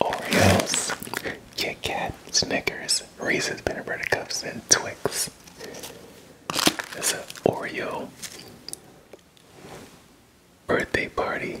Oreos, Kit Kat, Snickers, Reese's peanut butter cups, and Twix. It's an Oreo birthday party.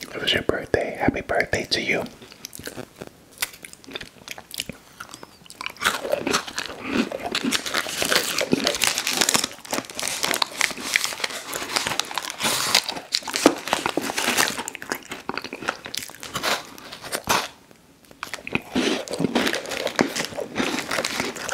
It was your birthday. Happy birthday to you.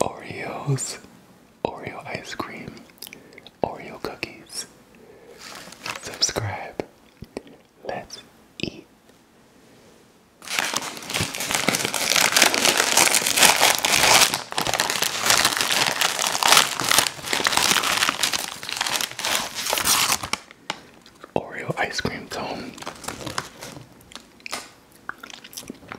Oreos, Oreo ice cream, Oreo cookies. Subscribe. Let's eat. Oreo ice cream cone.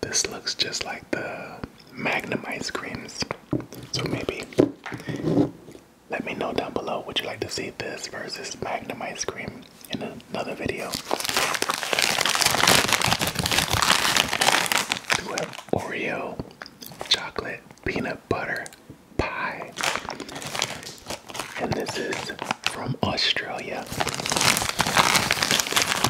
This looks just like the Magnum ice creams. So maybe let me know down below would you like to see this versus Magnum ice cream in another video. Oreo chocolate peanut butter pie? And this is from Australia.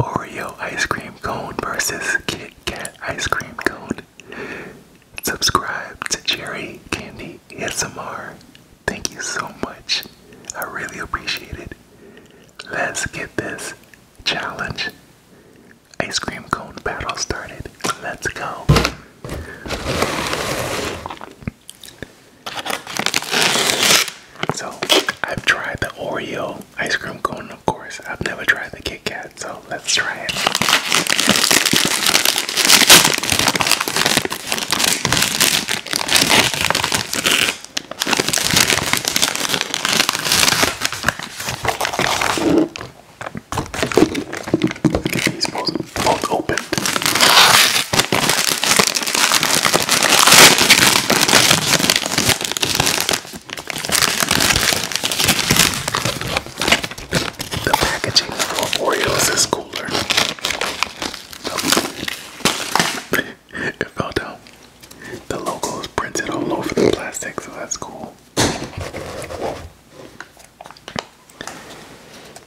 Oreo ice cream cone versus Kit Kat ice cream cone. Subscribe to Cherry Candy S M R. Thank you so much. I really appreciate it. Let's get this challenge ice cream cone battle started. Let's go. So, I've tried the Oreo ice cream cone, of course. I've never tried the Kit Kat, so let's try it these both, both opened. The packaging for Oreos is cooler. it fell down. The logo is printed all over the plastic, so that's cool.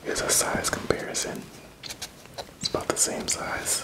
Here's a size comparison. It's about the same size.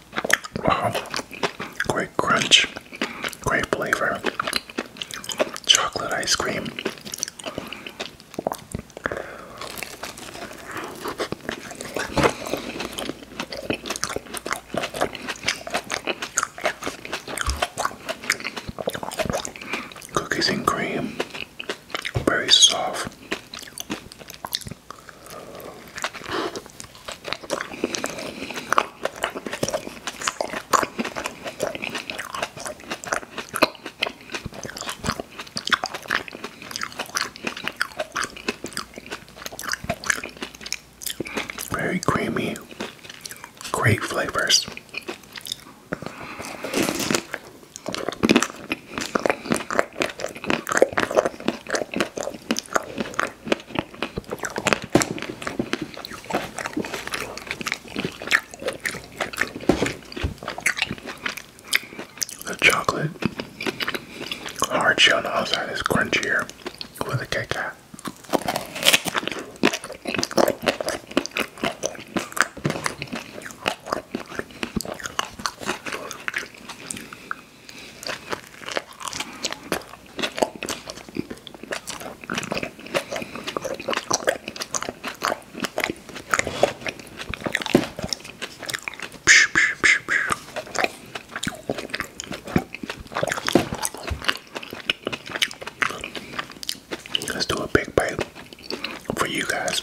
Wow, uh-huh. great crunch, great flavor, chocolate ice cream. Cookies and cream, very soft, very creamy, great flavors. The chocolate hard shell on the outside is crunchier with a cake Let's do a big bite for you guys.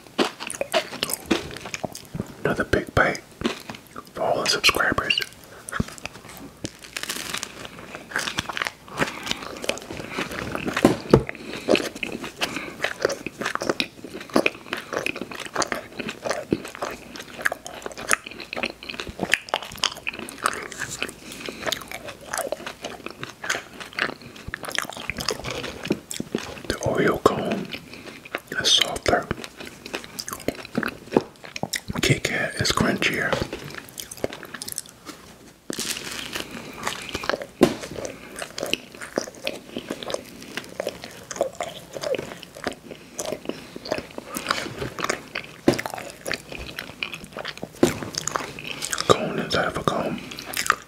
Another big bite for all the subscribers. The Oreo cone is softer. Kit Kat is crunchier. Cone inside of cone.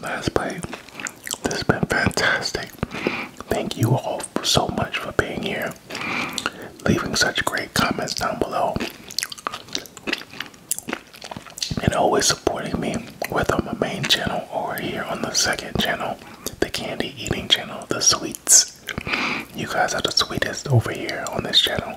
Last bite. This has been fantastic. Thank you all so much for being here, leaving such great comments down below, and always supporting me, whether on my main channel or here on the second channel, the candy eating channel, the sweets. You guys are the sweetest over here on this channel.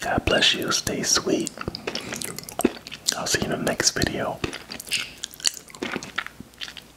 God bless you. Stay sweet. I'll see you in the next video.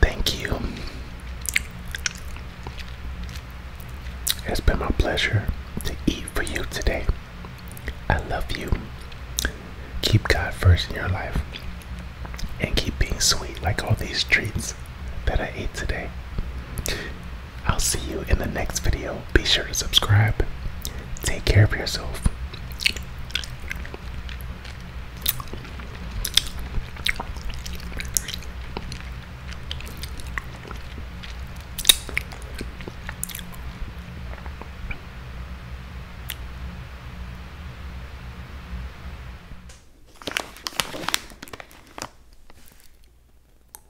Thank you. It's been my pleasure to eat for you today. I love you. Keep God first in your life and keep being sweet like all these treats that I ate today. I'll see you in the next video. Be sure to subscribe Take care of yourself.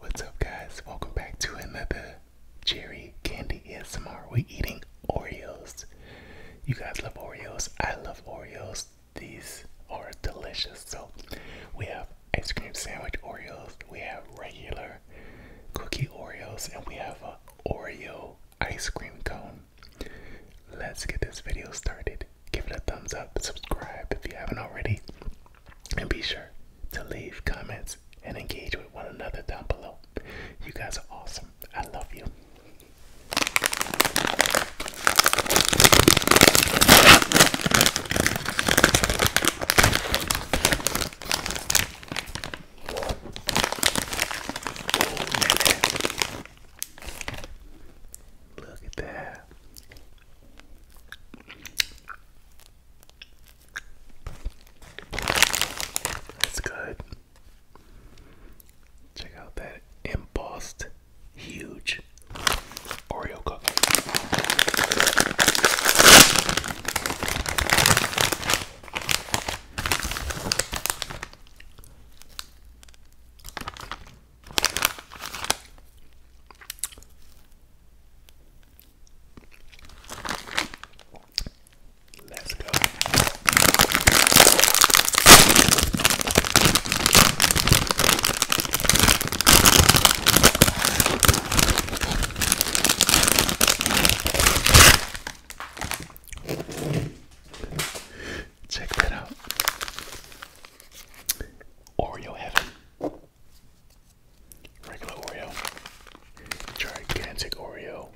What's up, guys? Welcome back to another Cherry Candy ASMR. We're eating Oreos. You guys love Oreos. I love Oreos. These are delicious. So we have ice cream sandwich Oreos. We have regular cookie Oreos, and we have a Oreo ice cream cone. Let's get this video started. Give it a thumbs up, subscribe if you haven't already, and be sure to leave comments and engage with one another down below. You guys are awesome. I love you. Look at that. That's good. Check out that embossed huge Oreo cookie. Let's go. Check that out. Oreo heaven regular Oreo, gigantic Oreo.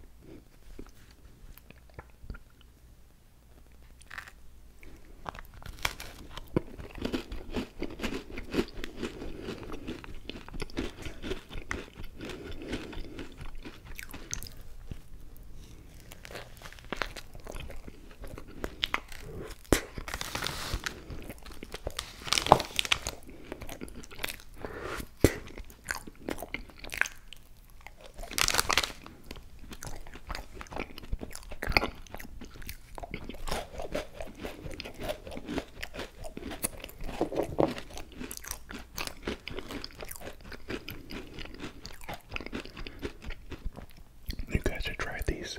You guys should try these.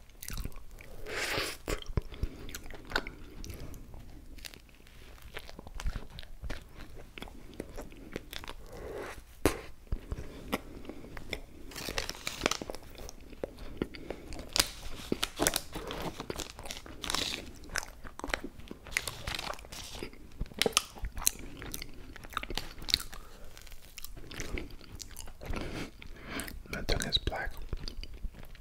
My tongue is black.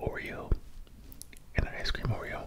Oreo and an ice cream Oreo.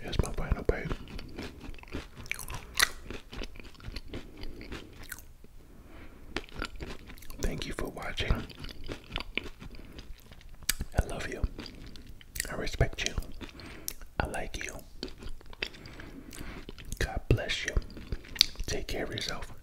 Here's my final bite. Thank you for watching. I love you. I respect you. I like you. God bless you. Take care of yourself.